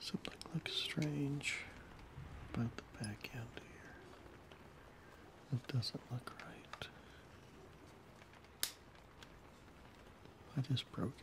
Something looks strange about the back end here. It doesn't look right. I just broke it.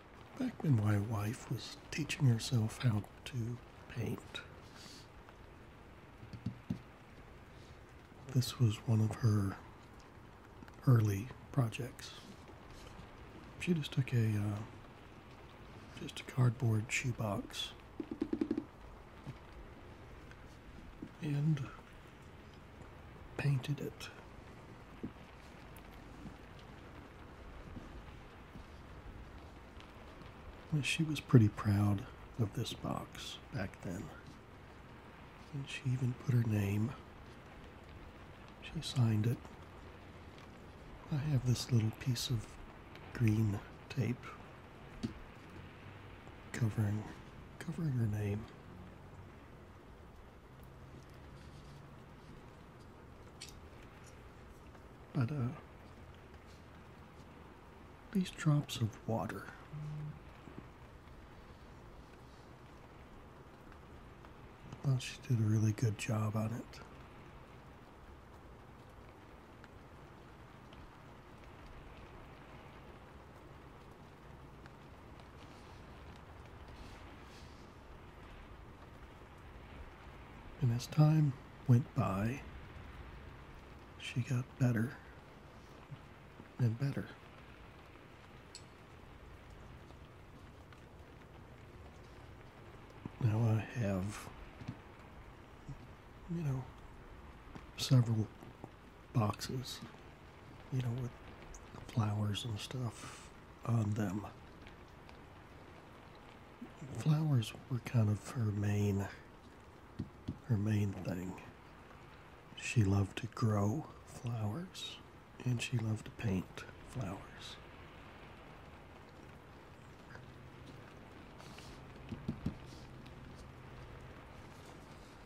back when my wife was teaching herself how to paint. This was one of her early projects. She just took a uh, just a cardboard shoebox and painted it she was pretty proud of this box back then. And she even put her name. She signed it. I have this little piece of green tape covering covering her name. But, uh, these drops of water. I thought she did a really good job on it. And as time went by, she got better and better. Now I have, you know, several boxes, you know, with flowers and stuff on them flowers were kind of her main her main thing. She loved to grow flowers and she loved to paint flowers.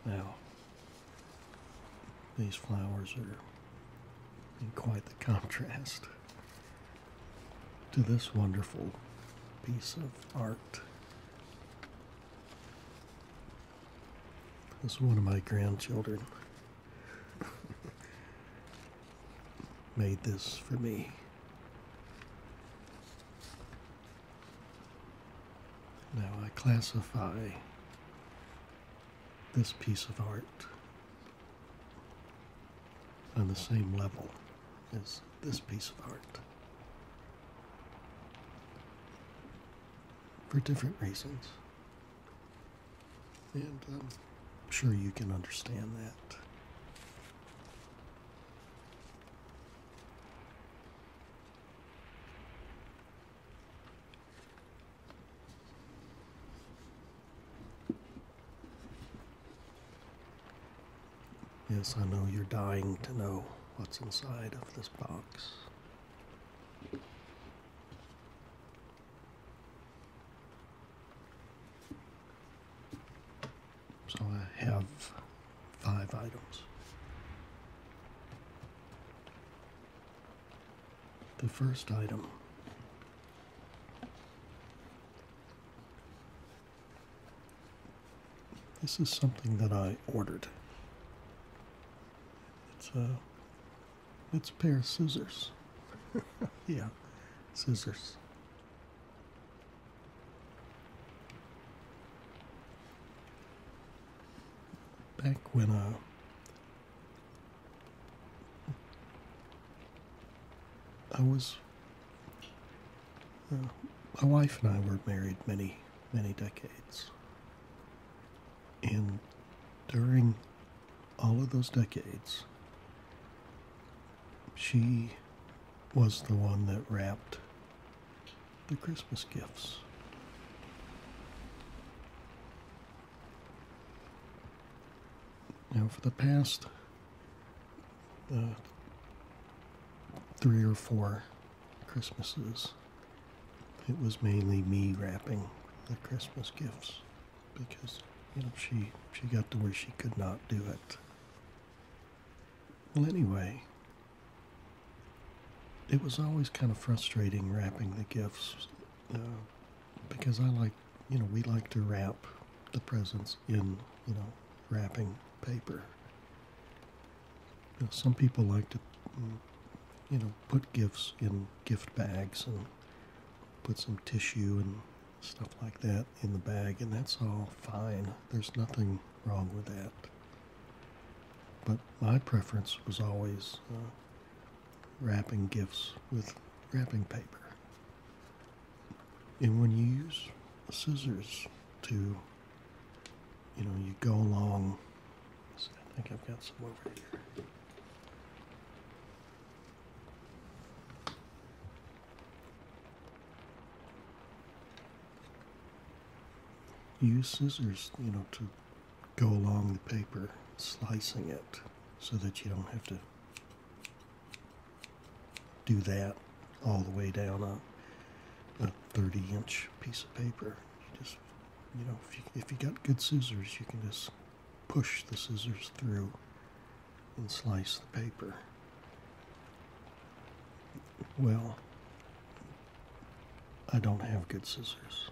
Now, these flowers are in quite the contrast to this wonderful piece of art. This one of my grandchildren. Made this for me. Now I classify this piece of art on the same level as this piece of art for different reasons. And um, I'm sure you can understand that. Yes, I know you're dying to know what's inside of this box. So I have five items. The first item this is something that I ordered. It's a, uh, it's a pair of scissors. yeah, scissors. Back when uh, I was. Uh, my wife and I were married many, many decades. And during all of those decades, she was the one that wrapped the Christmas gifts. Now, for the past three or four Christmases, it was mainly me wrapping the Christmas gifts because you know she she got to where she could not do it. Well, anyway, it was always kind of frustrating wrapping the gifts uh, because I like you know, we like to wrap the presents in, you know, wrapping paper. You know, some people like to, mm, you know, put gifts in gift bags and put some tissue and stuff like that in the bag, and that's all fine. There's nothing wrong with that. But my preference was always uh, wrapping gifts with wrapping paper. And when you use scissors to, you know, you go along. See, I think I've got some over here. Use scissors, you know, to go along the paper, slicing it so that you don't have to do that all the way down a, a 30 inch piece of paper. You just, you know, if you, if you got good scissors, you can just push the scissors through and slice the paper. Well, I don't have good scissors.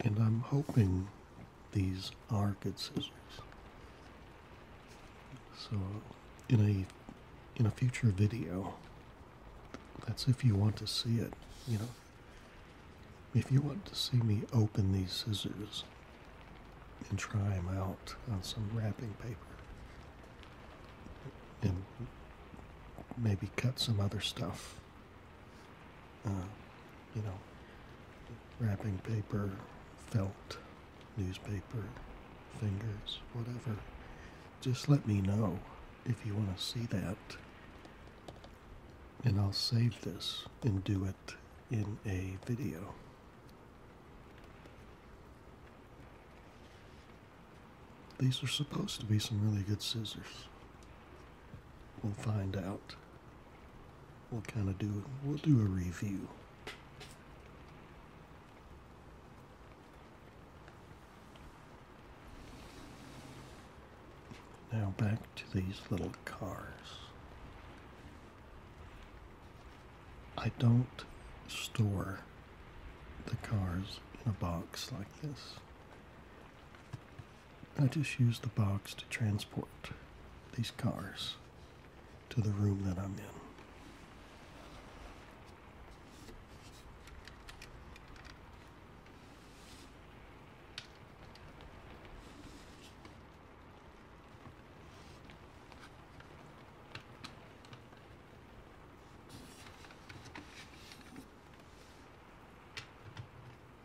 And I'm hoping these are good scissors. So in a in a future video, that's if you want to see it, you know. If you want to see me open these scissors and try them out on some wrapping paper and maybe cut some other stuff uh, you know, wrapping paper, felt, newspaper, fingers, whatever. Just let me know if you want to see that. And I'll save this and do it in a video. These are supposed to be some really good scissors. We'll find out. We'll kind of do we'll do a review. Now back to these little cars. I don't store the cars in a box like this. I just use the box to transport these cars to the room that I'm in.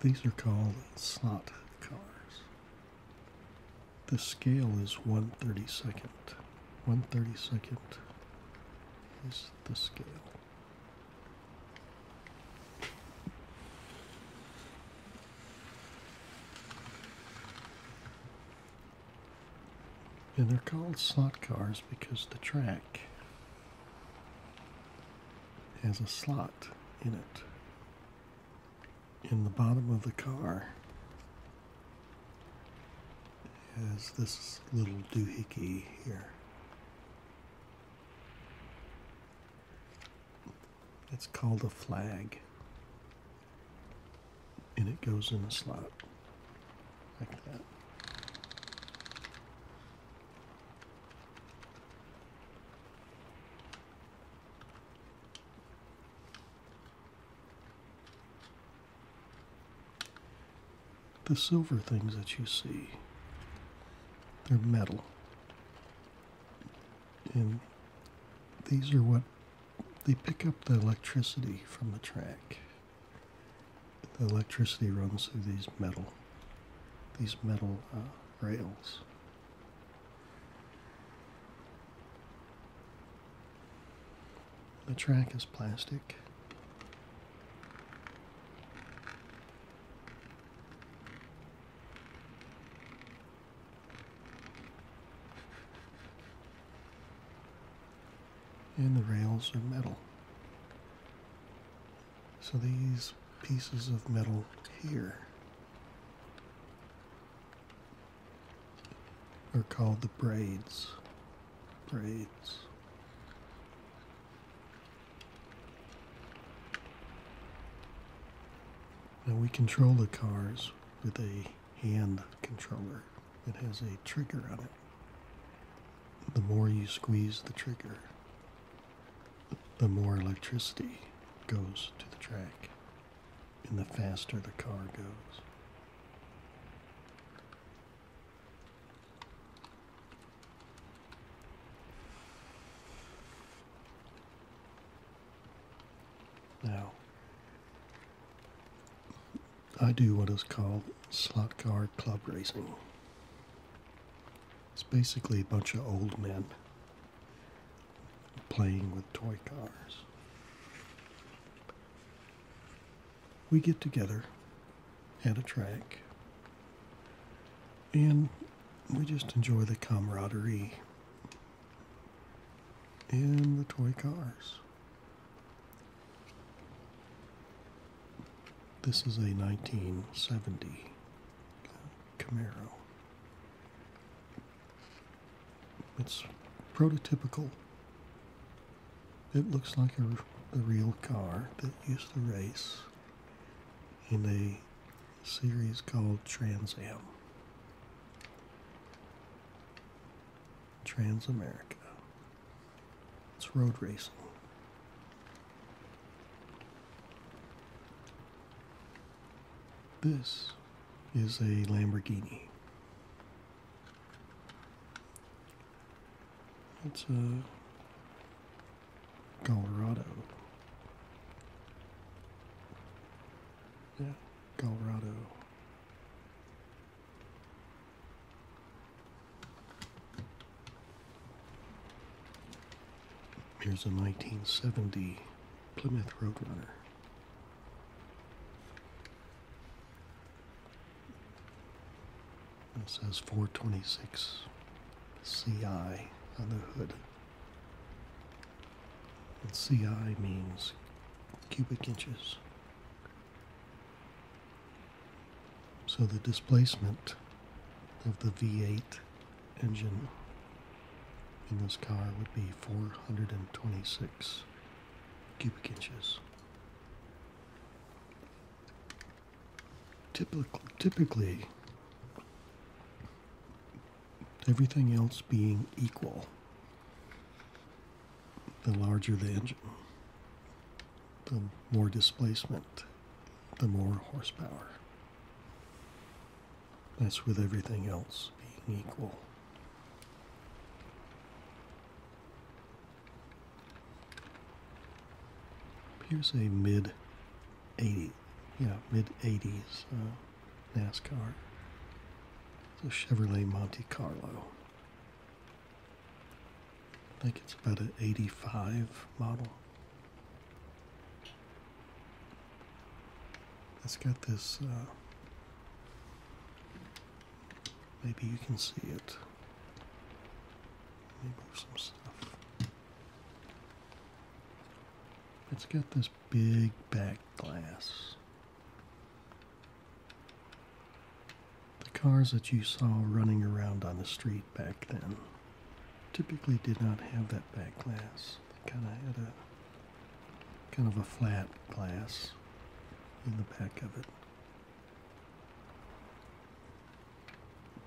these are called slot cars. The scale is 132nd. 132nd is the scale. And they're called slot cars because the track has a slot in it. In the bottom of the car has this little doohickey here. It's called a flag. And it goes in a slot like that. The silver things that you see, they're metal. And these are what they pick up the electricity from the track. The electricity runs through these metal, these metal uh, rails. The track is plastic. And the rails are metal. So these pieces of metal here are called the braids. Braids. Now we control the cars with a hand controller. It has a trigger on it. The more you squeeze the trigger, the more electricity goes to the track and the faster the car goes. Now, I do what is called slot car club racing. It's basically a bunch of old men playing with toy cars. We get together at a track and we just enjoy the camaraderie and the toy cars. This is a 1970 Camaro. It's prototypical. It looks like a, real car that used to race in a series called Trans Am. Trans America. It's road racing. This is a Lamborghini. It's a Colorado. Yeah, Colorado. Here's a 1970 Plymouth Roadrunner. It says 426 CI on the hood. And CI means cubic inches. So the displacement of the V8 engine in this car would be 426 cubic inches. typically, everything else being equal, the larger the engine, the more displacement, the more horsepower. That's with everything else being equal. Here's a mid 80s, yeah, mid 80s uh, NASCAR. It's a Chevrolet Monte Carlo. I think it's about an 85 model. It's got this, uh, maybe you can see it. Let me move some stuff. It's got this big back glass. The cars that you saw running around on the street back then typically did not have that back glass. kind of had a kind of a flat glass in the back of it.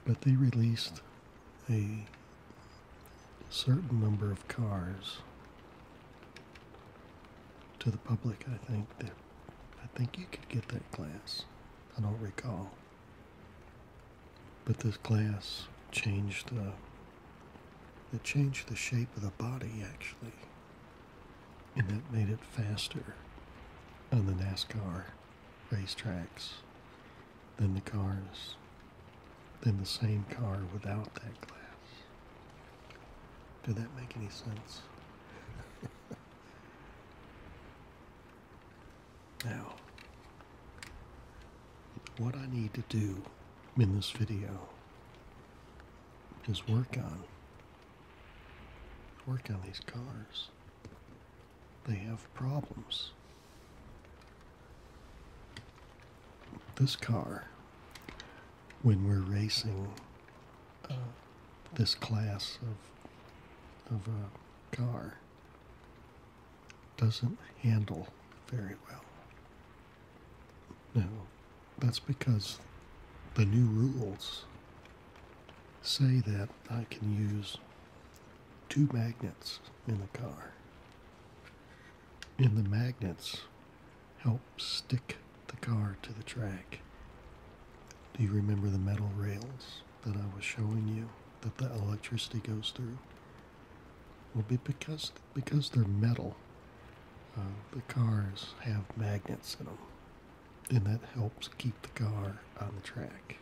But they released a certain number of cars to the public. I think that I think you could get that glass. I don't recall. But this glass changed the changed the shape of the body actually. And that made it faster on the NASCAR racetracks than the cars, than the same car without that glass. Did that make any sense? Now, what I need to do in this video is work on work on these cars. They have problems. This car, when we're racing uh, this class of of a uh, car, doesn't handle very well. No, that's because the new rules say that I can use two magnets in the car. And the magnets help stick the car to the track. Do you remember the metal rails that I was showing you that the electricity goes through? will be because because they're metal. Uh, the cars have magnets in them, and that helps keep the car on the track.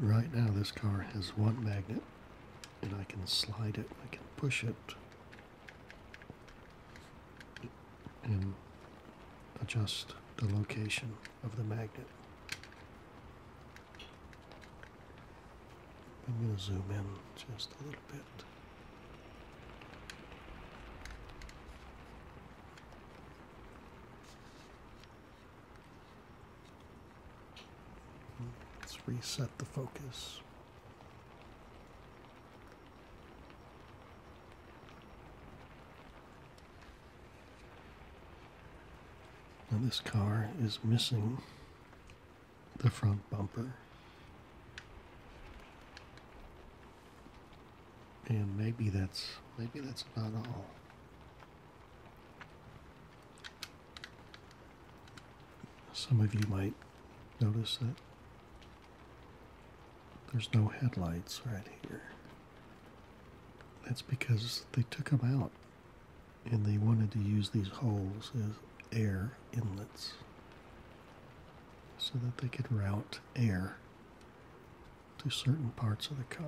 Right now, this car has one magnet, and I can slide it, I can push it, and adjust the location of the magnet. I'm going to zoom in just a little bit. Let's reset the focus. Now, this car is missing the front bumper. And maybe that's maybe that's about all. Some of you might notice that there's no headlights right here. That's because they took them out and they wanted to use these holes as air inlets so that they could route air to certain parts of the car.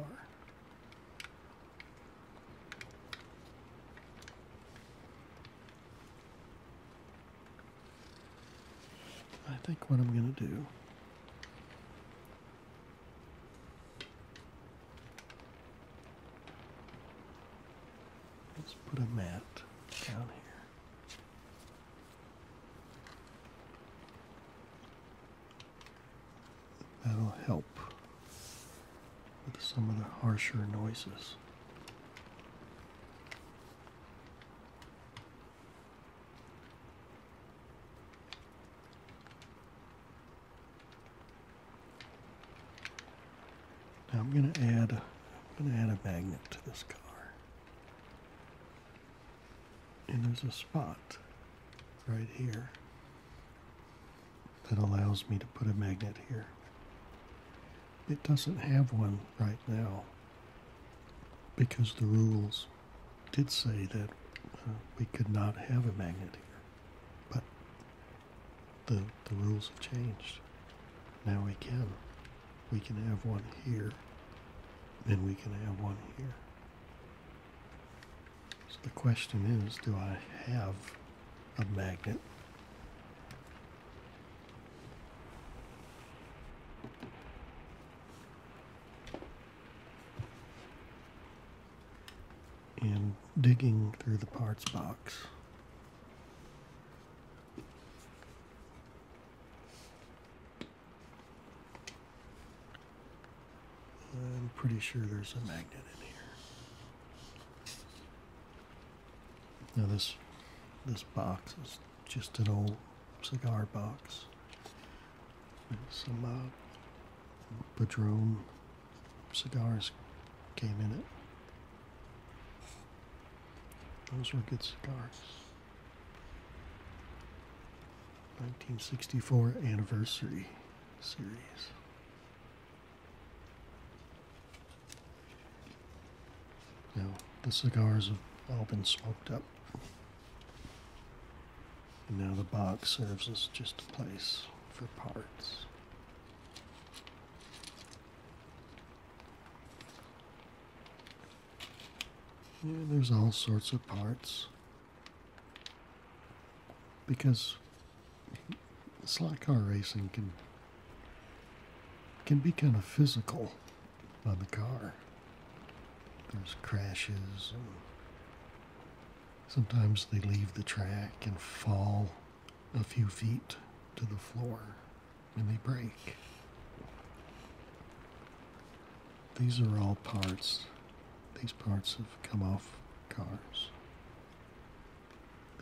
I think what I'm going to do Let's put a mat down here. That'll help with some of the harsher noises. Now I'm going to add a, I'm going to add a magnet to this car. And there's a spot right here that allows me to put a magnet here. It doesn't have one right now because the rules did say that uh, we could not have a magnet here. But the the rules have changed. Now we can. We can have one here and we can have one here. So the question is, do I have a magnet? and digging through the parts box. I'm pretty sure there's a magnet in here. Now this this box is just an old cigar box. Some uh, Padron cigars came in it. Those were good cigars. 1964 anniversary series. Now, the cigars have all been smoked up. And now the box serves as just a place for parts. Yeah, there's all sorts of parts. Because slot car racing can can be kind of physical on the car. There's crashes Sometimes they leave the track and fall a few feet to the floor and they break. These are all parts. These parts have come off cars.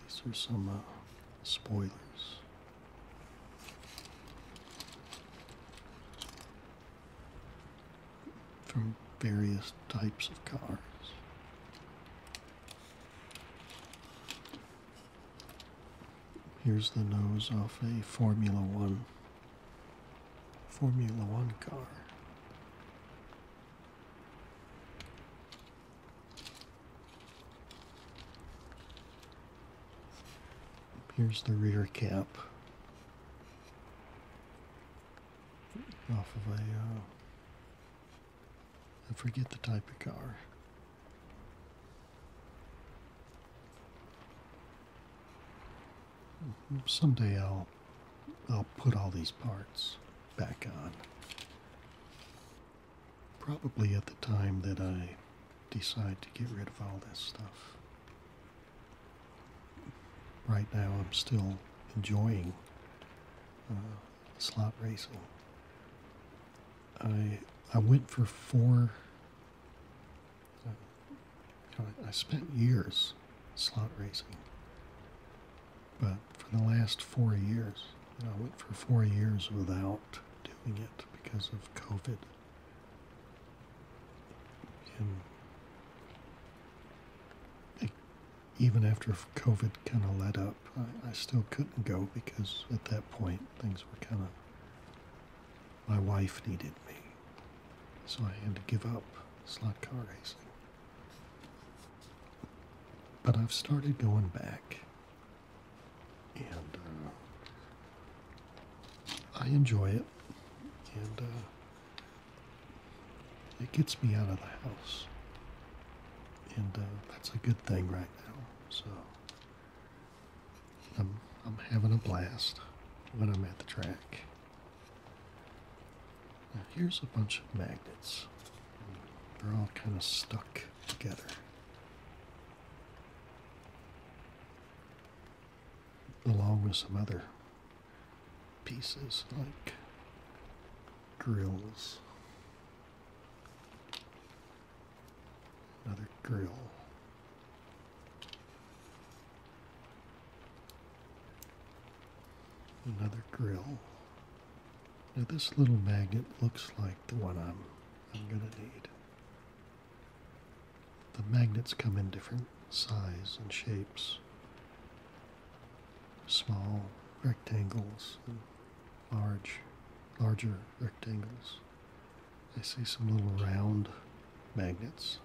These are some uh, spoilers from various types of cars. Here's the nose off a Formula One Formula One car. Here's the rear cap off of a—I uh, forget the type of car. Someday I'll I'll put all these parts back on. Probably at the time that I decide to get rid of all this stuff right now I'm still enjoying uh, slot racing. I I went for four. Uh, I spent years slot racing, but for the last four years, I went for four years without doing it because of COVID even after COVID kind of let up, I, still couldn't go because at that point things were kind of. My wife needed me, so I had to give up slot car racing. But I've started going back, and uh, I enjoy it, and uh, it gets me out of the house. And uh, that's a good thing right now. So I'm, I'm having a blast when I'm at the track. Now here's a bunch of magnets. They're all kind of stuck together. Along with some other pieces like drills. Another grill. Another grill. Now this little magnet looks like the one I'm I'm gonna need. The magnets come in different size and shapes small rectangles and large, larger rectangles. I see some little round magnets.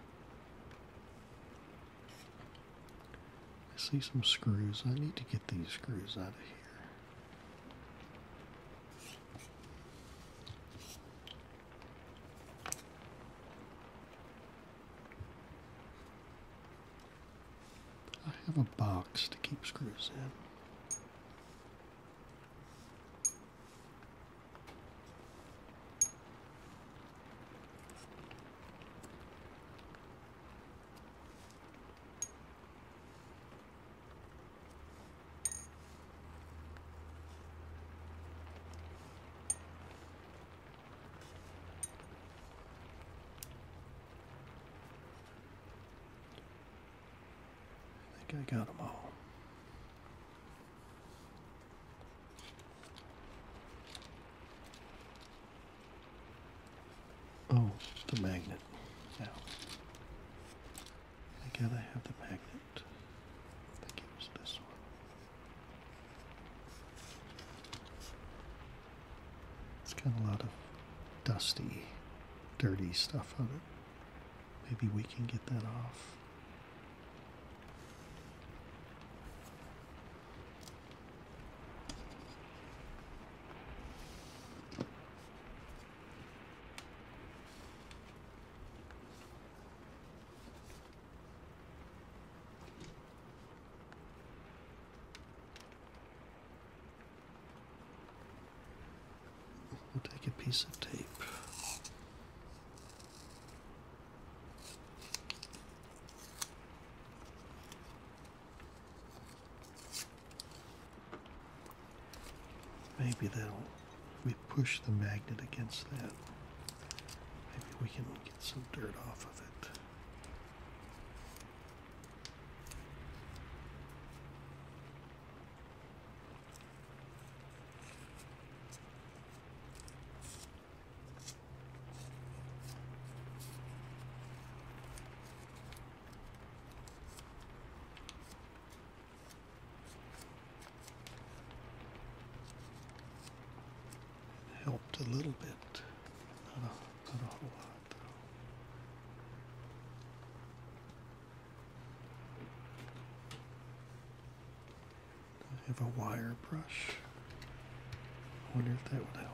I see some screws. I need to get these screws out of here. I have a box to keep screws in. I think I got them all. Oh, the magnet. Now, I gotta have the magnet. I think it was this one. It's got a lot of dusty, dirty stuff on it. Maybe we can get that off. We'll take a piece of tape. Maybe that'll, if we push the magnet against that, maybe we can get some dirt off of it helped a little bit. I have a wire brush. I wonder if that would help.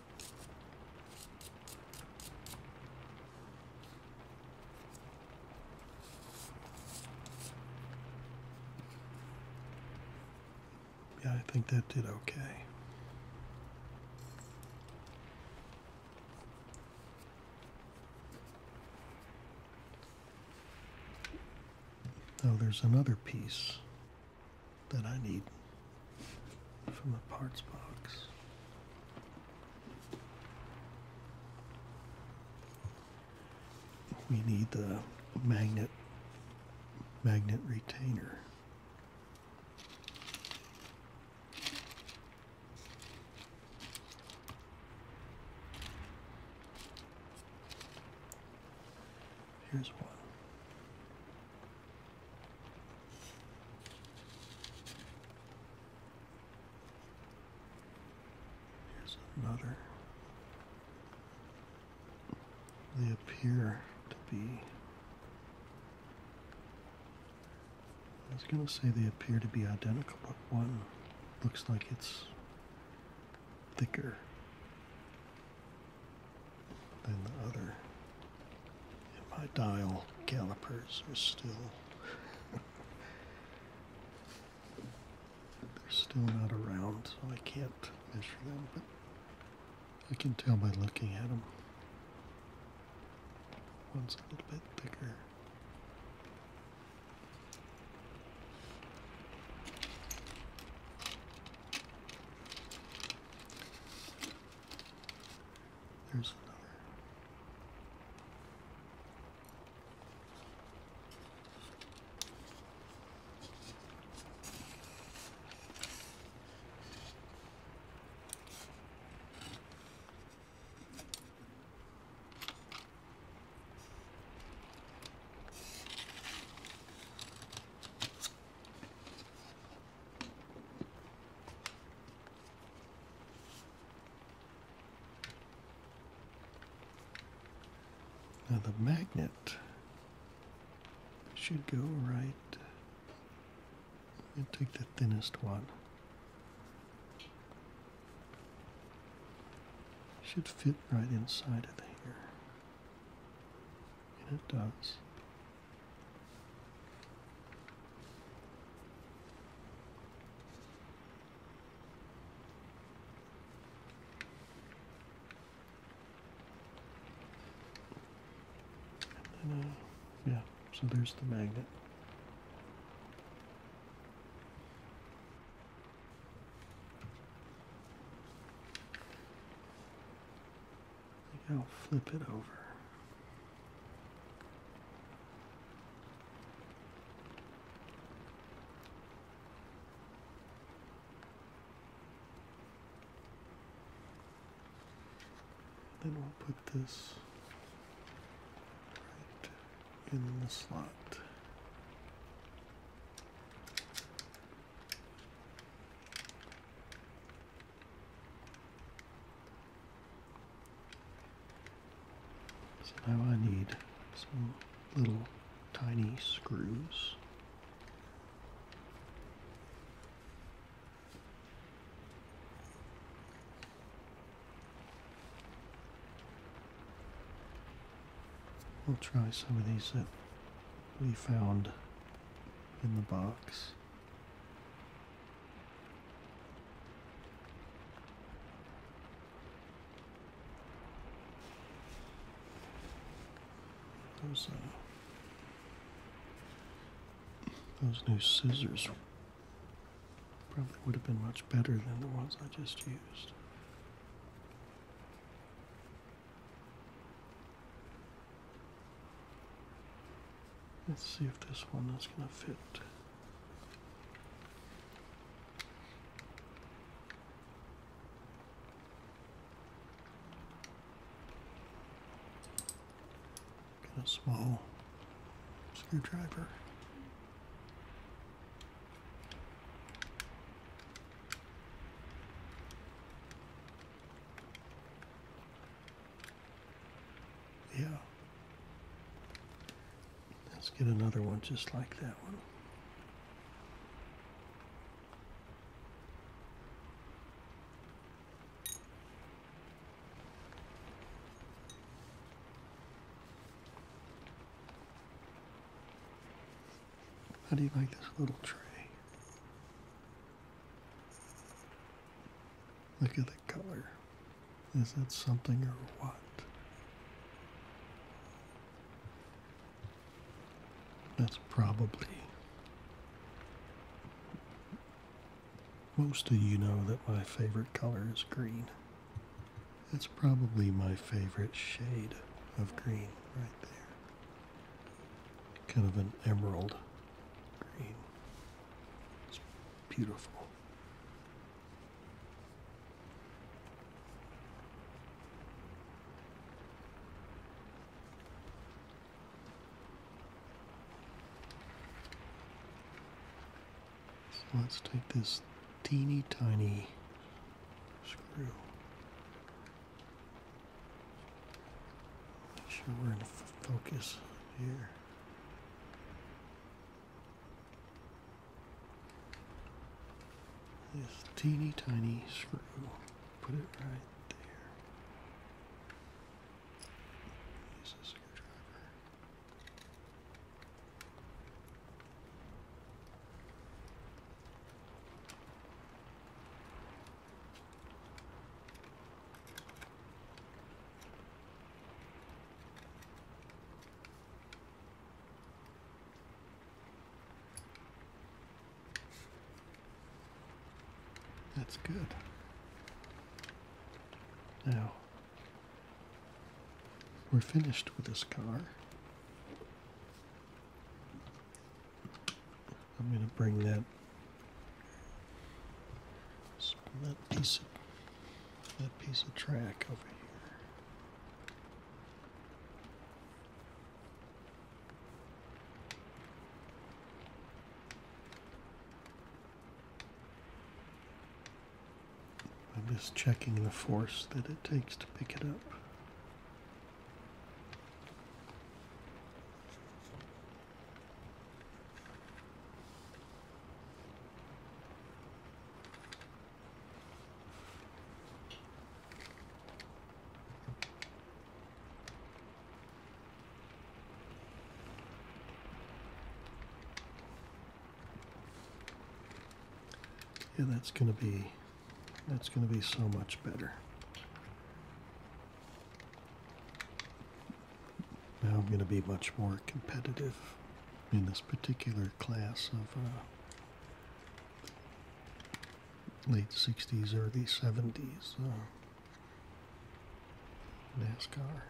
Yeah, I think that did okay. Now oh, there's another piece that I need from a parts box. We need the magnet magnet retainer. Here's one. Here's another. They appear to be. I was going to say they appear to be identical, but one looks like it's thicker than the other. And my dial calipers are still, they're still not around, so I can't measure them, but I can tell by looking at them. One's a little bit thicker. There's another. Now the magnet should go right and take the thinnest one. Should fit right inside of here. And it does. Uh, yeah, so there's the magnet. I'll flip it over. Then we'll put this right in the slot. So now I need some little tiny screws. We'll try some of these that we found in the box. Those, those new scissors probably would have been much better than the ones I just used. Let's see if this one is going to fit. a small screwdriver. Yeah. Let's get another one just like that one. How do you like this little tray? Look at the color. Is that something or what? That's probably. Most of you know that my favorite color is green. That's probably my favorite shade of green right there. Kind of an emerald green. It's beautiful. let's take this teeny tiny screw Make sure we're in focus here. This teeny tiny screw. Put it right there. Use a screwdriver. That's good. Now, we're finished with this car. I'm going to bring that, that piece of that piece of track over here. I'm just checking the force that it takes to pick it up. Yeah, that's going to be that's going to be so much better. Now I'm going to be much more competitive in this particular class of uh, late 60s, early 70s uh, NASCAR.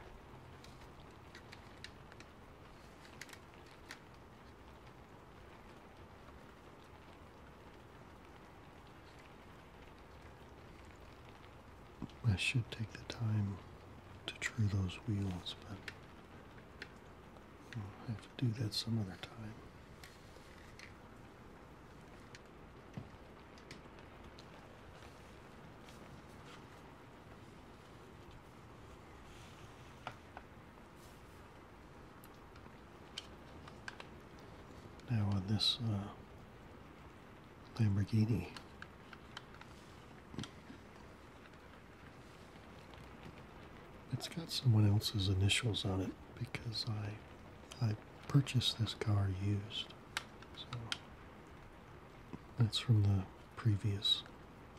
I should take the time to true those wheels, but I'll have to do that some other time. Now on this uh, Lamborghini. It's got someone else's initials on it because I I purchased this car used. So that's from the previous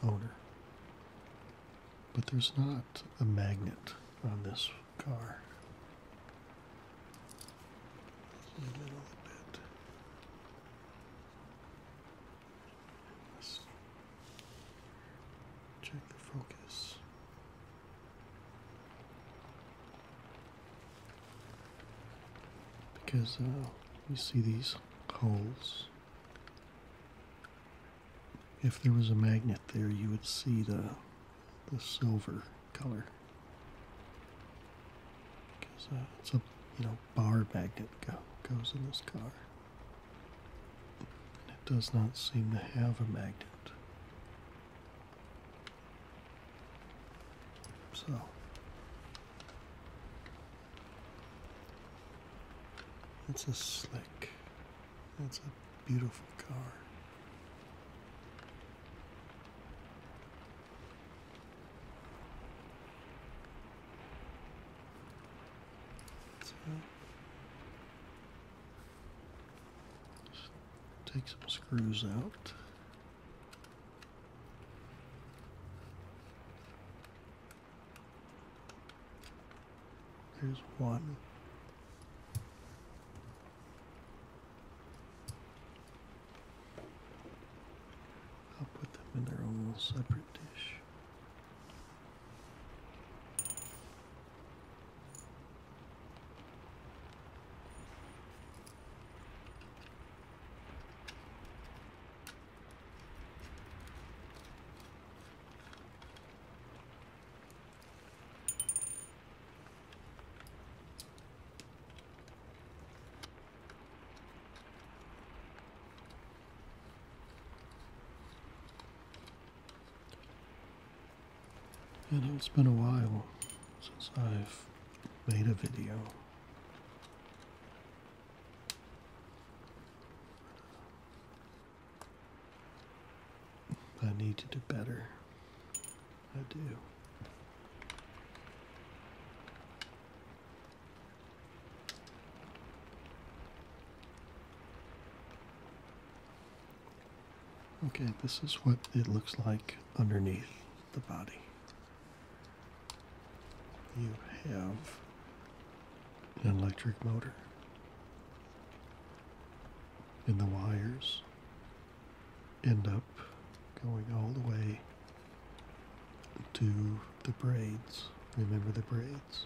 owner. But there's not a magnet on this car check the focus. Because uh, you see these holes. If there was a magnet there, you would see the the silver color. Because uh, it's a you know bar magnet goes in this car. And it does not seem to have a magnet. So. It's a slick. It's a beautiful car. So, take some screws out. There's one. I'll put them in their own separate dish. You know, it's been a while since I've made a video. I need to do better. I do. Okay, this is what it looks like underneath the body. You have an electric motor, in the wires end up going all the way to the braids. Remember the braids.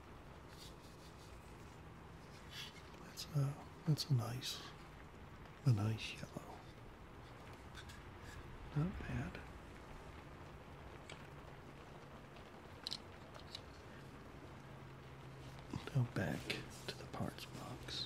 That's a, uh, that's a nice, a nice yellow. Not bad. Now back to the parts box.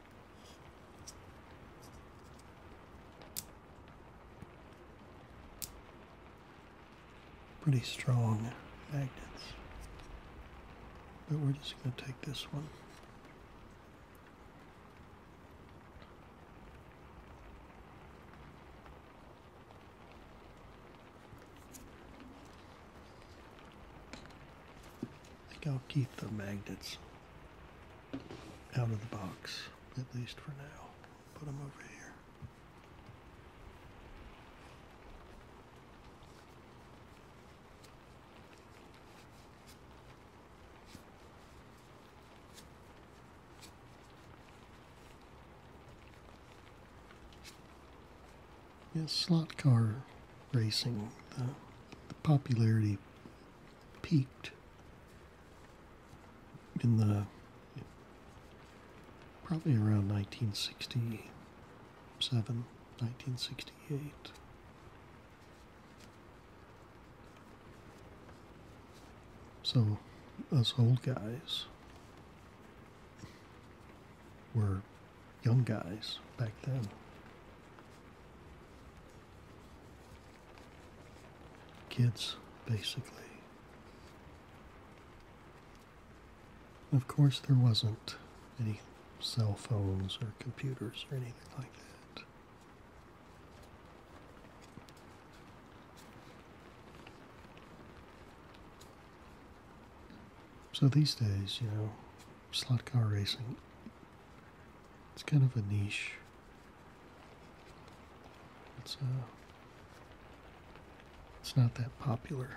Pretty strong magnets. But we're just going to take this one. I think I'll keep the magnets out of the box, at least for now. Put them over here. Yes, slot car racing, the, the popularity peaked in the probably around 1967, 1968. So, us old guys were young guys back then. Kids, basically. Of course, there wasn't any cell phones or computers or anything like that. So these days, you know, slot car racing it's kind of a niche. It's uh, it's not that popular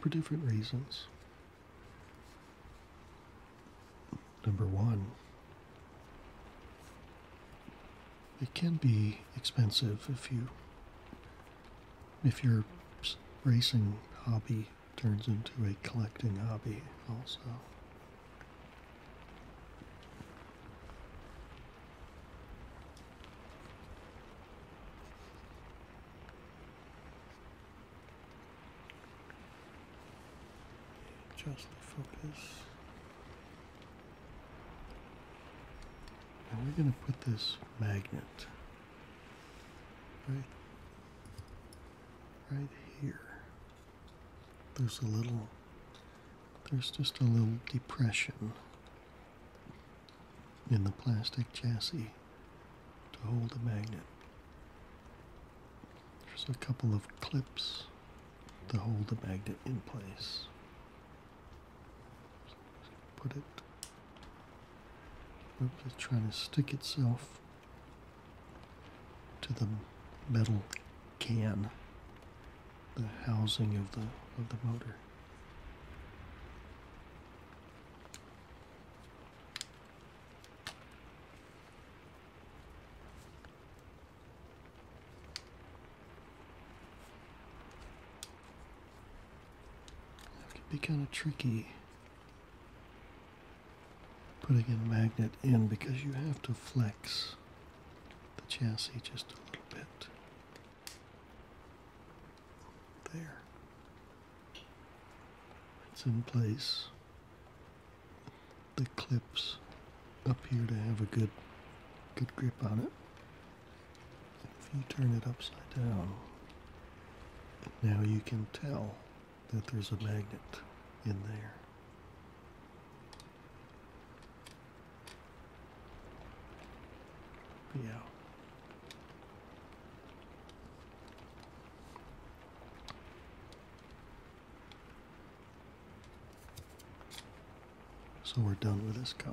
for different reasons. Number one, it can be expensive if you if your racing hobby turns into a collecting hobby also. Just the focus. Now we're going to put this magnet Right, right here. There's a little, there's just a little depression in the plastic chassis to hold the magnet. There's a couple of clips to hold the magnet in place. Put it it's trying to stick itself to the metal can, the housing of the of the motor. That could be kind of tricky putting a magnet in because you have to flex the chassis just a little bit. There. It's in place. The clips up here to have a good good grip on it. If you turn it upside down, now you can tell that there's a magnet in there. Yeah. So we're done with this car.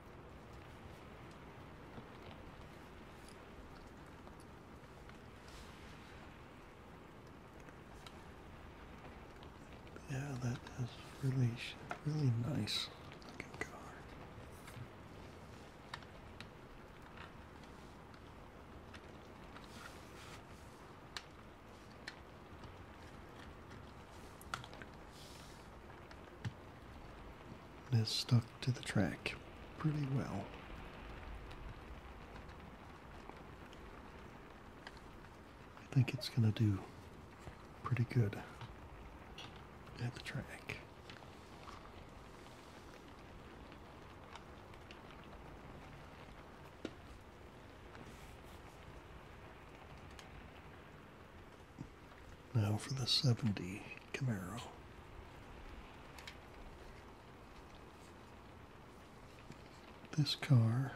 Yeah, that is really, really nice looking car. It stuck to the track pretty well. I think it's going to do pretty good at the track. Now for the 70 Camaro. This car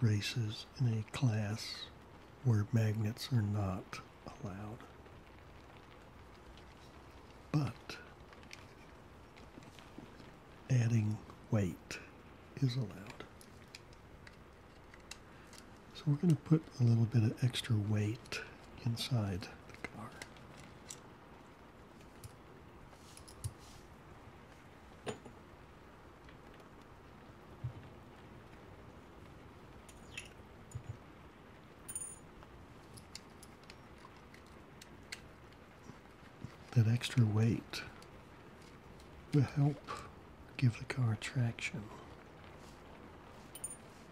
races in a class where magnets are not allowed. But adding weight is allowed. So we're going to put a little bit of extra weight inside the car. That extra weight will help give the car traction.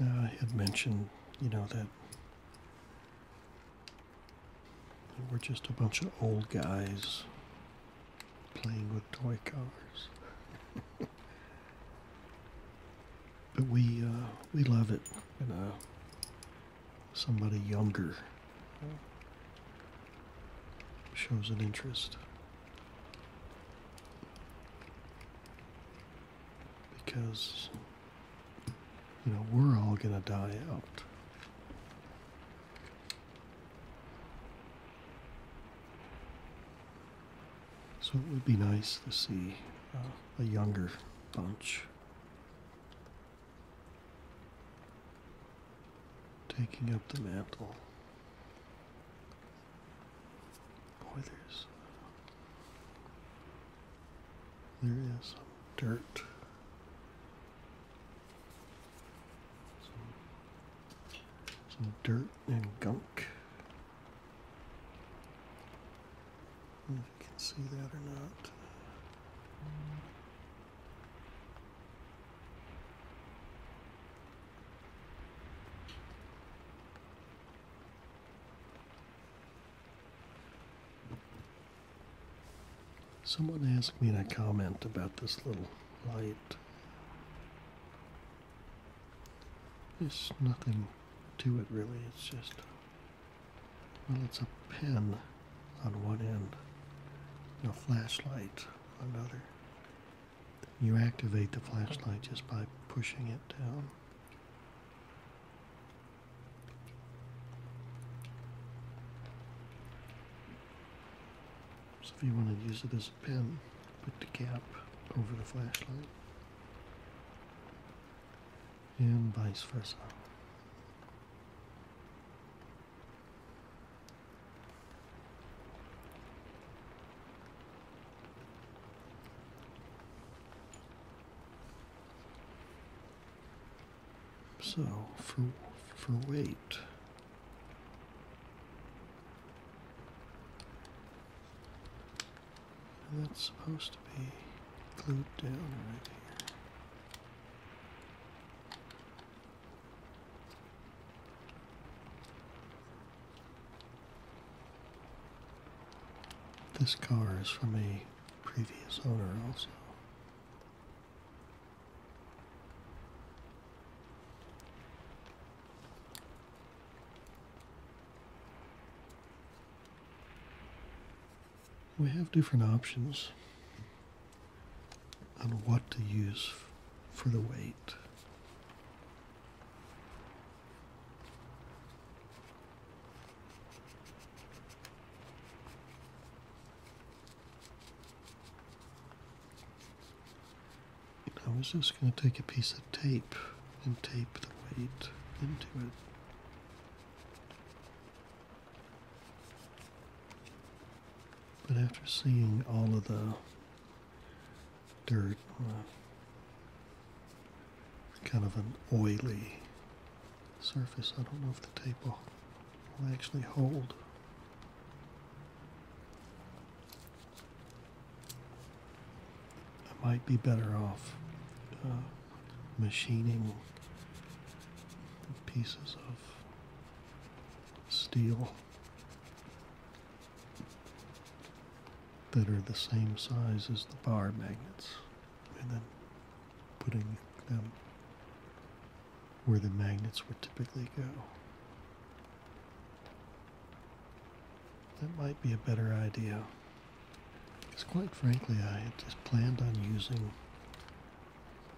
Uh, I had mentioned, you know, that we're just a bunch of old guys playing with toy cars. but we uh, we love it, you uh, know somebody younger shows an interest. Because, you know, we're all going to die out. So it would be nice to see uh, a younger bunch taking up the mantle. Boy, there's there is some dirt, some, dirt and gunk. if you can see that or not. Someone asked me in a comment about this little light. There's nothing to it really, it's just, well, it's a pen on one end and a flashlight on another. You activate the flashlight just by pushing it down. So if you want to use it as a pen, put the cap over the flashlight and vice versa. So for for weight. that's supposed to be glued down right here. This car is from a previous owner also. We have different options. And what to use for the weight. I was just going to take a piece of tape and tape the weight into it. But after seeing all of the dirt, uh, kind of an oily surface, I don't know if the tape will, actually hold. I might be better off uh, machining pieces of steel that are the same size as the bar magnets and then putting them where the magnets would typically go. That might be a better idea. Because quite frankly, I had just planned on using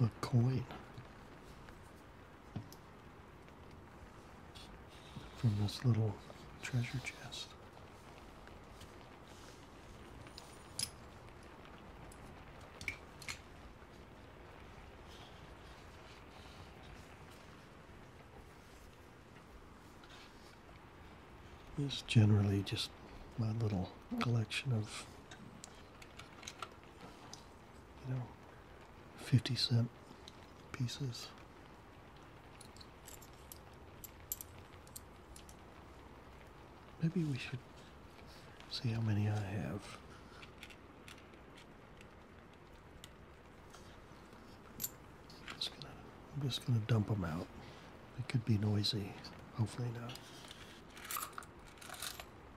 a coin from this little treasure chest. It's generally just my little collection of you know, 50 cent pieces. Maybe we should see how many I have. I'm just gonna, I'm just gonna dump them out. It could be noisy. Hopefully not.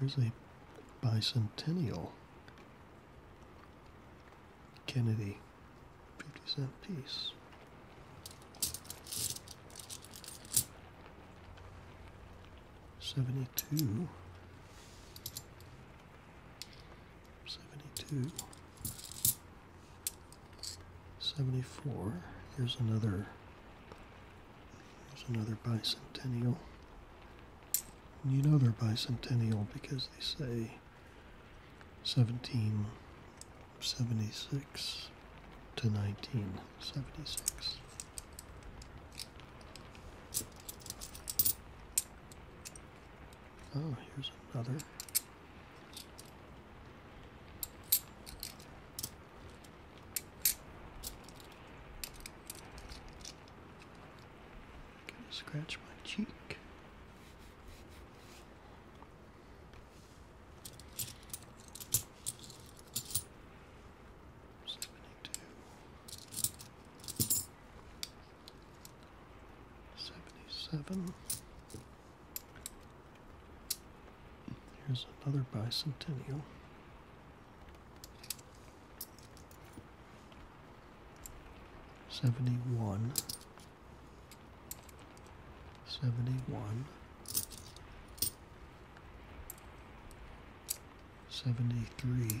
Here's a bicentennial Kennedy 50 cent piece. Seventy two 72, 74. Here's another. Here's another bicentennial. you know they're bicentennial because they say 1776 to 1976. Oh, here's another. scratch my cheek. Seventy-two. 77. Here's another bicentennial. Seventy-one. Seventy-one. Seventy-three.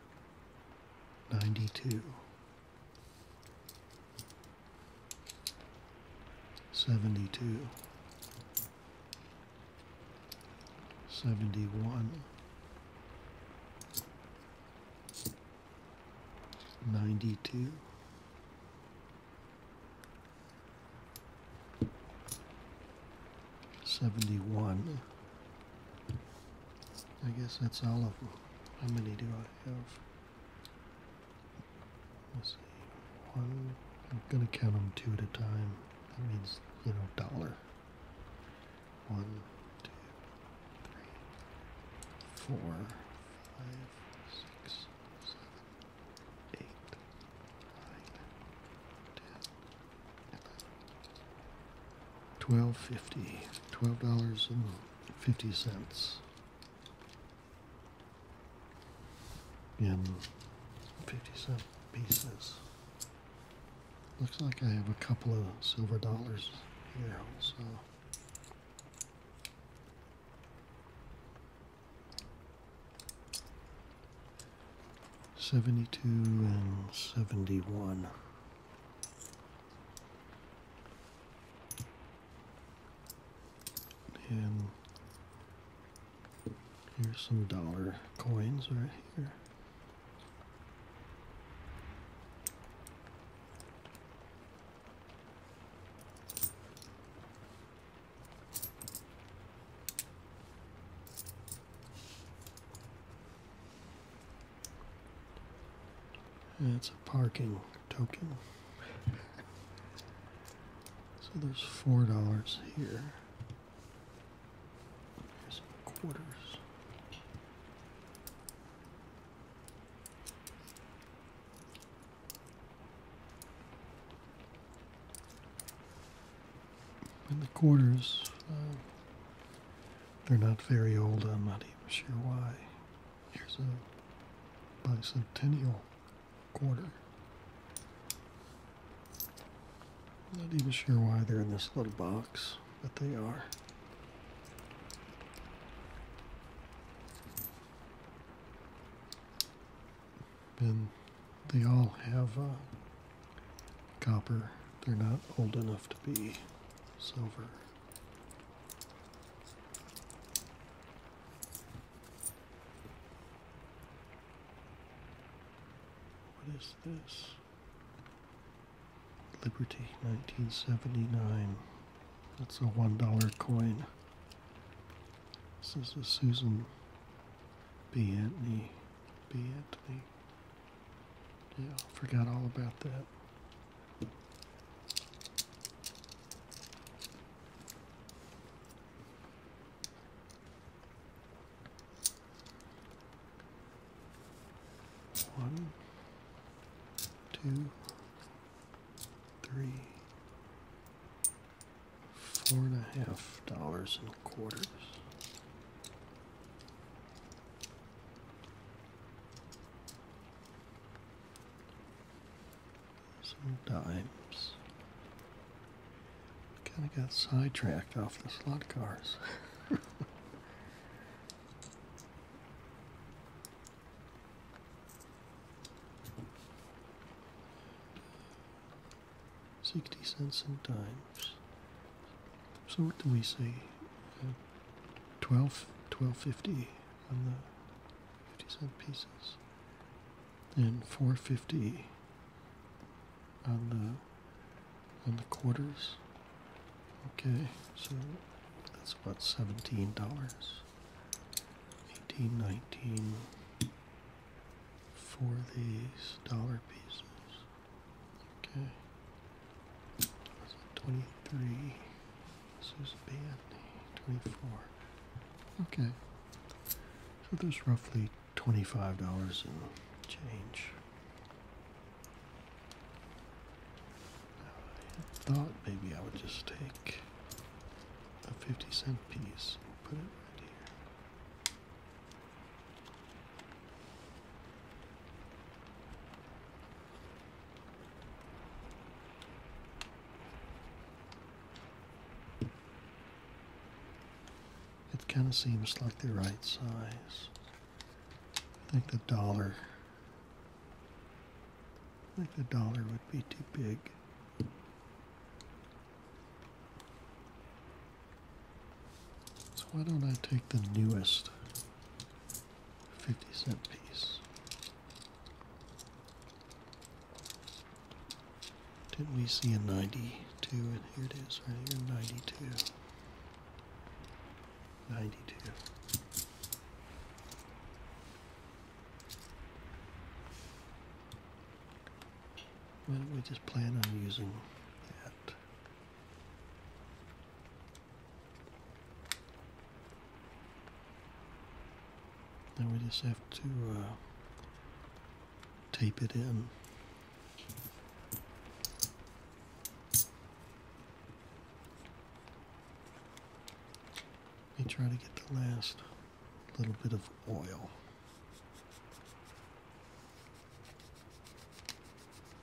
92 72 71 92 71 I guess that's all of them. How many do I have? Let's see. One. I'm gonna count them two at a time. That means you know dollar. One, two, three, four, five, six, seven, eight, nine, ten twelve fifty, twelve dollars and fifty cents in fifty cent pieces. Looks like I have a couple of silver dollars here also. Seventy two and seventy one. And here's some dollar coins right here. That's a parking token. So there's four dollars here. There's quarters. And the quarters. Uh, they're not very old. I'm not even sure why. Here's a bicentennial quarter. Not even sure why they're in this little box, but they are. And they all have uh, copper. They're not old enough to be silver. What is this? Liberty 1979. That's a $1 coin. This is a Susan B. Anthony. B. Anthony. Yeah, forgot all about that. One, two, three, four and a half dollars and quarters. Sometimes I kind of got sidetracked off the slot cars. Sixty cents sometimes. So what do we see? Uh, on the 50 cent pieces. And 4.50 on the on the quarters. Okay, so that's about seventeen dollars. Eighteen nineteen for these dollar pieces. Okay. Twenty-three. This is twenty-four. Okay. So there's roughly twenty-five dollars in change. I thought maybe I would just take a fifty cent piece and put it right here. It kind of seems like the right size. I think the dollar. I think the dollar would be too big. So why don't I take the newest 50 cent piece? Didn't we see a 92? And here it is, right here, 92. Why don't we just plan on using that? Now we just have to uh, tape it in. Let me try to get the last little bit of oil.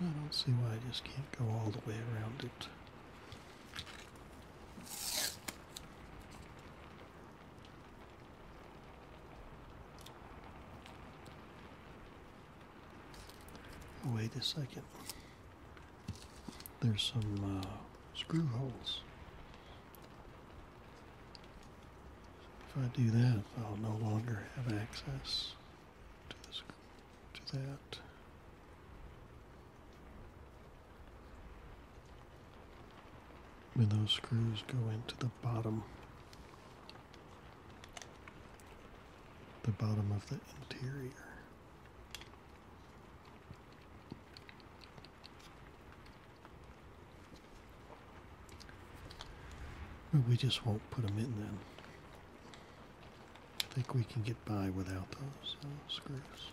I don't see why I just can't go all the way around it. Wait a second. There's some uh, screw holes. If I do that, I'll no longer have access to, this, to that. when those screws go into the bottom, the bottom of the interior we just won't put them in then. I think we can get by without those uh, screws.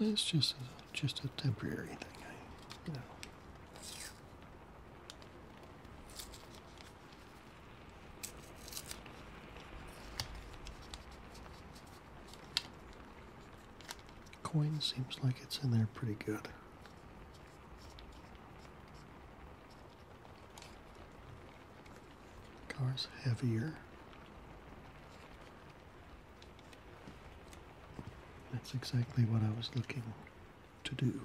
It's just a, just a temporary thing, I, Coin seems like it's in there pretty good. Car's heavier. That's exactly what I was looking to do.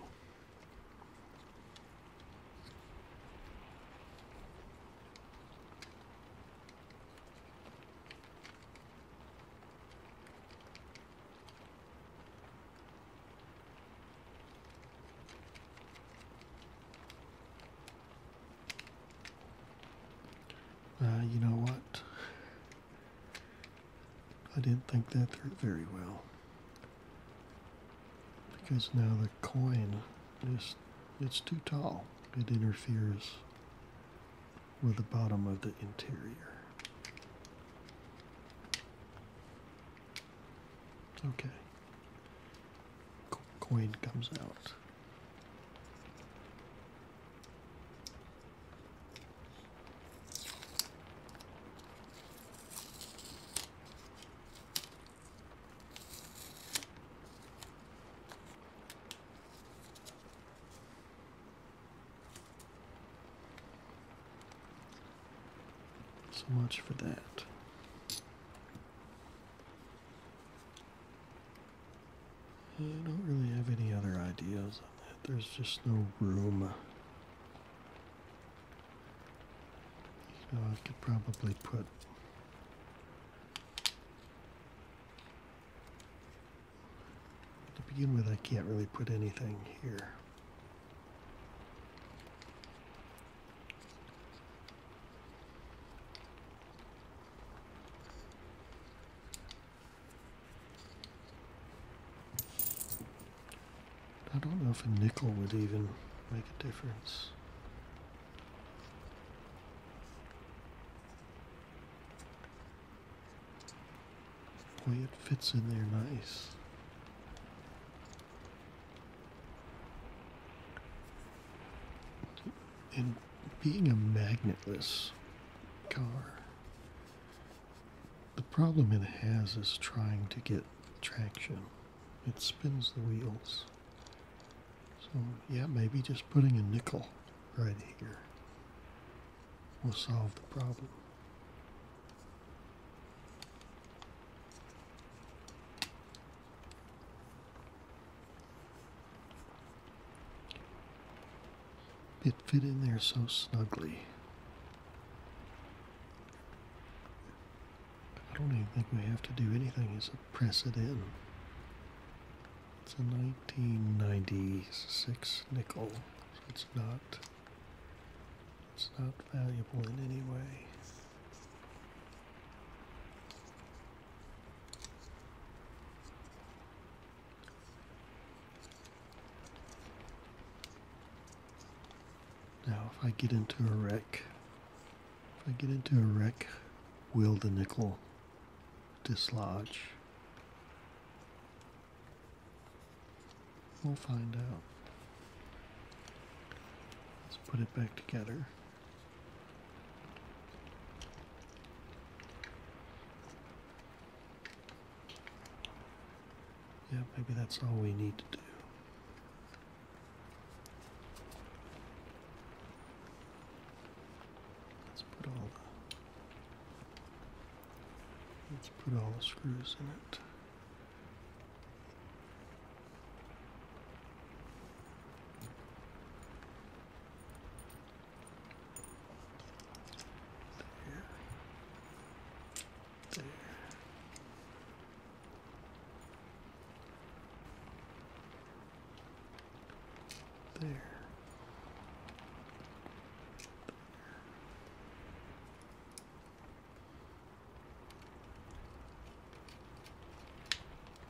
Uh, you know what? I didn't think that through very well. Because now the coin is it's too tall. It interferes with the bottom of the interior. It's Okay. Coin comes out. So much for that. I don't really have any other ideas on that. There's just no room. I could probably put to begin with I can't really put anything here. I don't know if a nickel would even make a difference. Boy, it fits in there nice. In being a magnetless car, the problem it has is trying to get traction. It spins the wheels. So, yeah, maybe just putting a nickel right here will solve the problem. It fit in there so snugly. I don't even think we have to do anything except press it in. It's a 1996 nickel. it's not it's not valuable in any way. Now, if I get into a wreck, if I get into a wreck, will the nickel dislodge? We'll find out. Let's put it back together. Yeah, maybe that's all we need to do. Let's put all the let's put all the screws in it. There. There. There. there.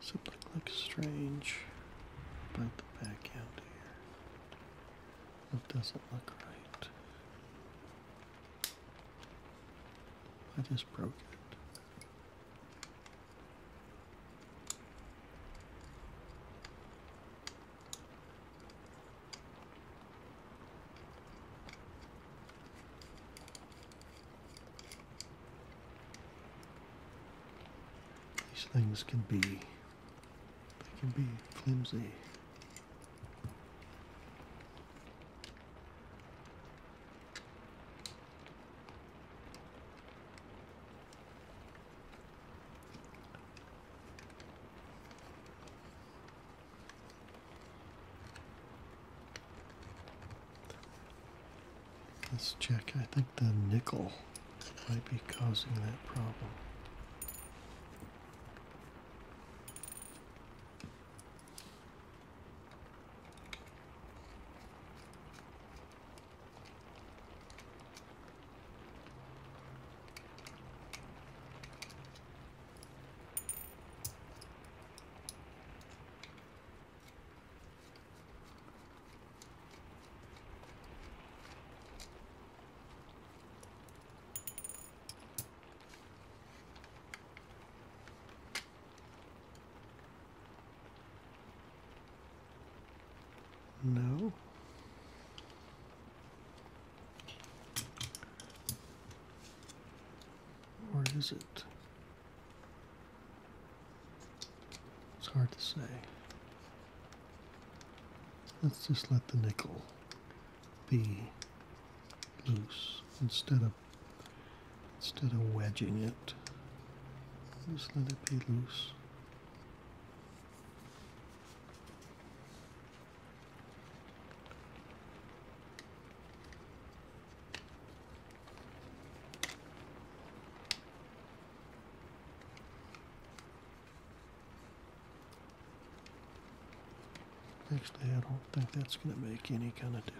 Something looks strange but the back end here. It doesn't look right. I just broke it. These things can be, they can be flimsy. Let's check. I think the nickel might be causing that problem. No. Where is it? It's hard to say. Let's just let the nickel be loose instead of instead of wedging it. Just let it be loose. Actually, I don't think that's going to make any kind of difference.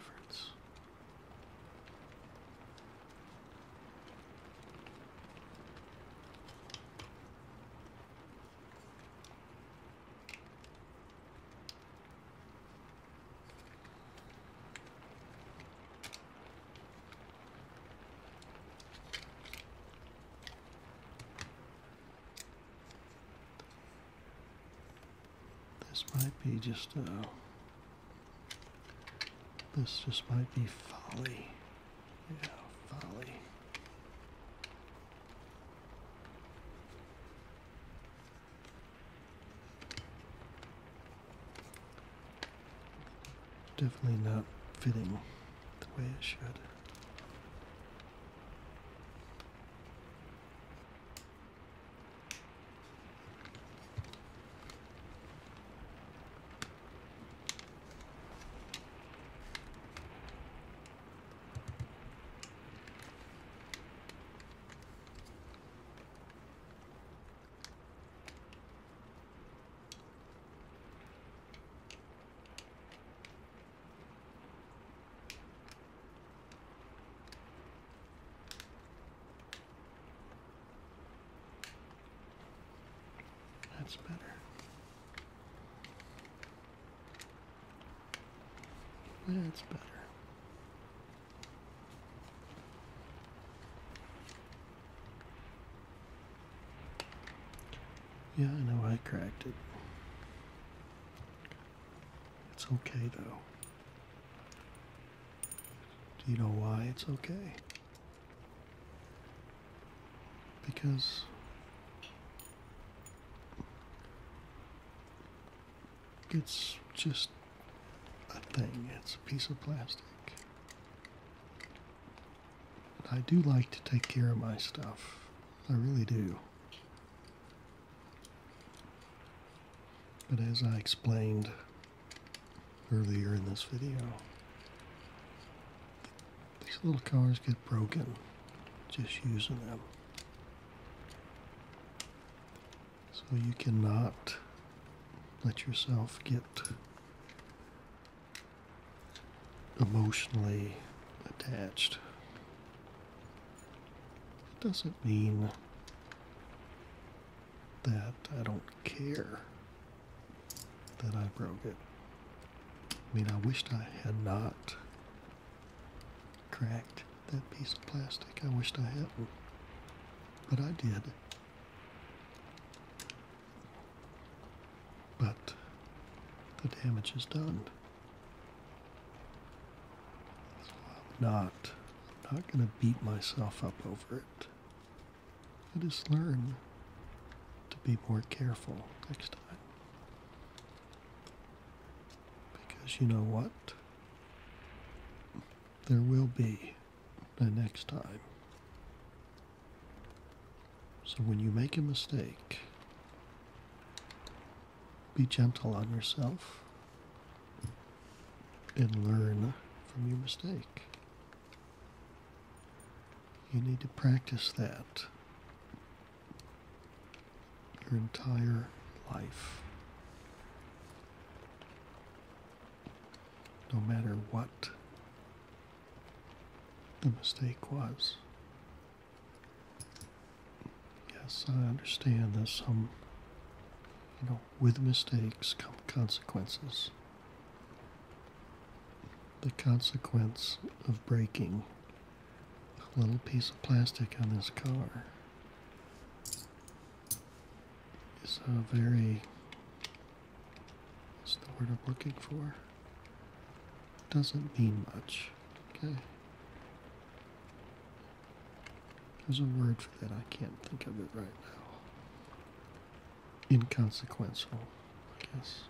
This might be just uh, This just might be folly. Yeah, folly. Definitely not fitting the way it should. That's better. That's better. Yeah, I know I cracked it. It's okay though. Do you know why it's okay? Because it's just a thing. It's a piece of plastic. I do like to take care of my stuff. I really do. But as I explained earlier in this video, these little cars get broken just using them. So you cannot let yourself get emotionally attached. It doesn't mean that I don't care that I broke it. I mean, I wished I had not cracked that piece of plastic. I wished I hadn't. But I did. But the damage is done. not, I'm not going to beat myself up over it. I just learn to be more careful next time. Because you know what? There will be the next time. So when you make a mistake, be gentle on yourself and learn from your mistake. You need to practice that your entire life no matter what the mistake was. Yes, I understand that some, you know, with mistakes come consequences. The consequence of breaking a little piece of plastic on this car is a very what's the word I'm looking for? Doesn't mean much. Okay. There's a word for that, I can't think of it right now. Inconsequential, I guess.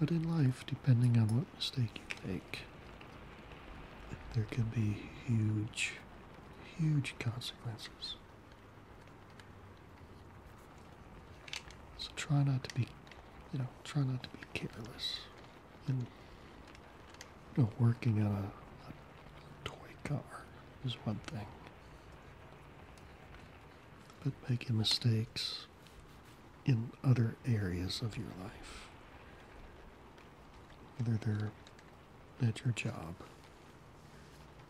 But in life, depending on what mistake you make, there could be huge huge consequences. So try not to be, you know, try not to be careless And you know, working on a toy car is one thing, but making mistakes in other areas of your life, whether they're at your job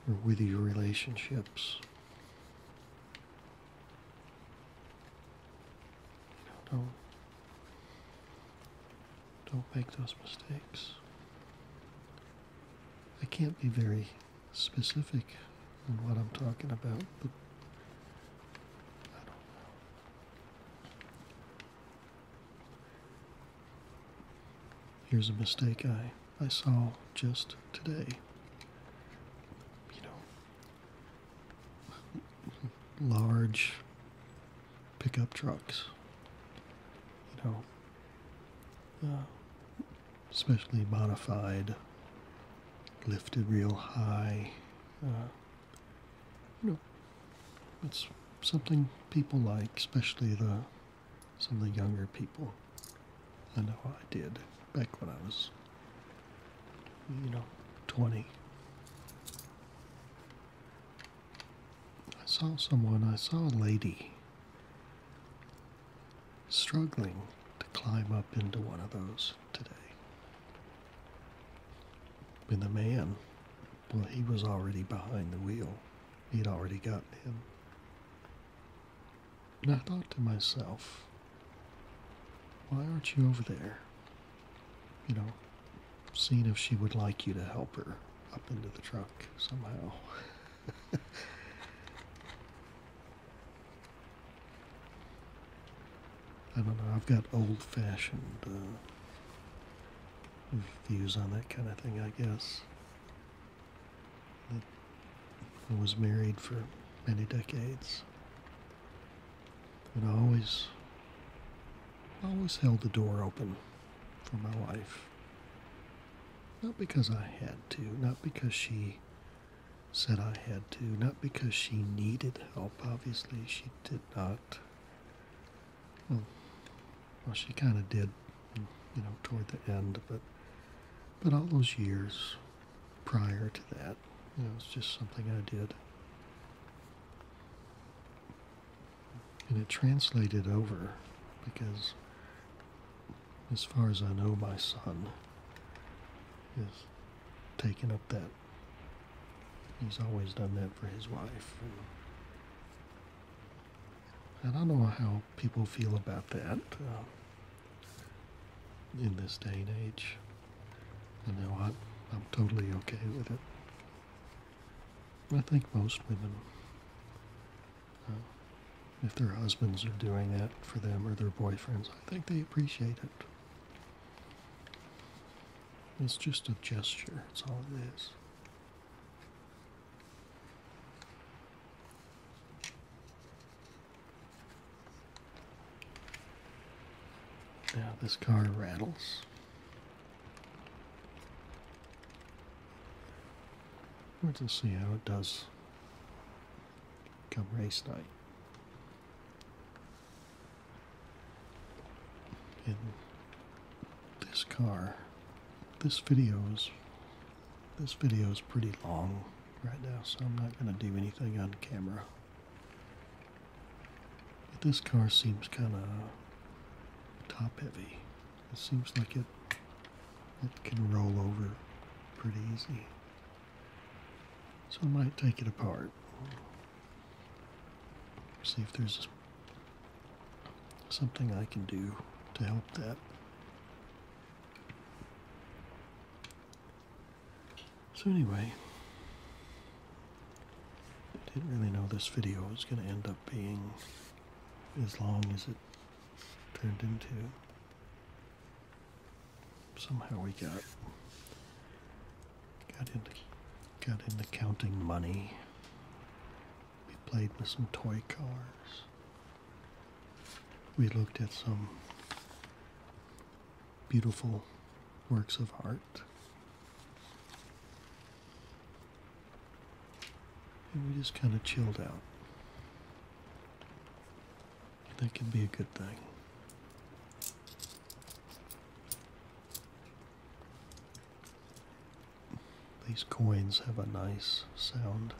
or with your relationships. don't, don't make those mistakes. I can't be very specific in what I'm talking about, but Here's a mistake I, I saw just today. You know, large pickup trucks. You know, especially uh, modified, lifted real high. Uh, you know, it's something people like, especially the some of the younger people. I know I did back when I was, you know, 20. I saw someone, I saw a lady struggling to climb up into one of those today. With a man well, he was already behind the wheel. He'd already gotten him. And I thought to myself, why aren't you over there? You know, seeing if she would like you to help her up into the truck somehow. I don't know, I've got old fashioned uh, views on that kind of thing, I guess. I was married for many decades. And I always, always held the door open for my wife. Not because I had to, not because she said I had to, not because she needed help. Obviously, she did not. Well, hmm. well she kind of did, you know, toward the end, but but all those years prior to that, it was just something I did. And it translated over because as far as I know, my son is taking up that. He's always done that for his wife. I don't know how people feel about that uh, in this day and age. You know, I'm, totally okay with it. I think most women, uh, if their husbands are doing that for them or their boyfriends, I think they appreciate it. It's just a gesture, It's all it is. Yeah, this car rattles. Let's see how it does come race night this car, this video is this video is pretty long right now, so I'm not going to do anything on camera. But this car seems kind of top heavy. It seems like it it can roll over pretty easy. So I might take it apart. See if there's something I can do to help that. So anyway, I didn't really know this video was going to end up being as long as it turned into. Somehow we got got into got into counting money we played with some toy cars. We looked at some beautiful works of art. And we just kind of chilled out. That could be a good thing. These coins have a nice sound.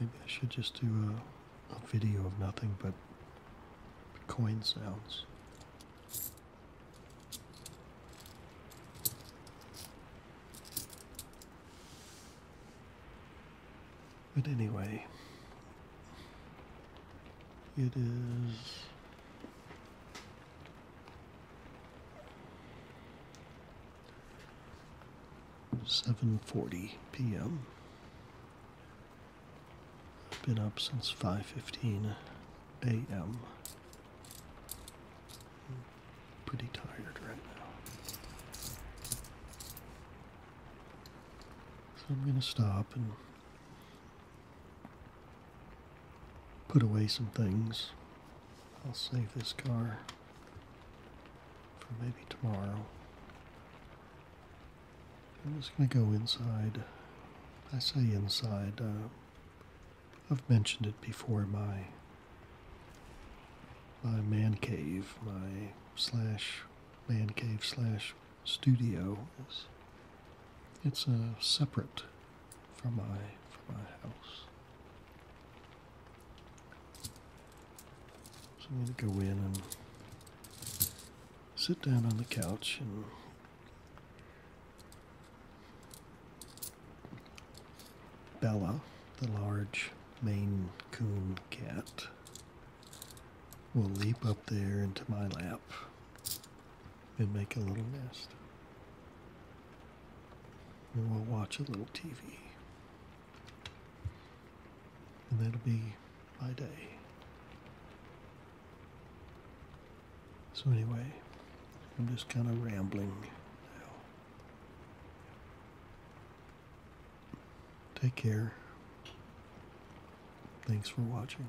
Maybe I should just do a, video of nothing but coin sounds. But anyway, it is 7:40 p.m. been up since 5:15 a.m. Pretty tired right now. So I'm going to stop and put away some things. I'll save this car for maybe tomorrow. I'm just going to go inside. I say inside. Uh, I've mentioned it before. My my man cave, my slash man cave slash studio it's a separate from my from my house. So I'm gonna go in and sit down on the couch and Bella, the large Maine Coon cat, will leap up there into my lap and make a little nest. And we'll watch a little TV. And that'll be my day. So, anyway, I'm just kind of rambling now. Take care. Thanks for watching.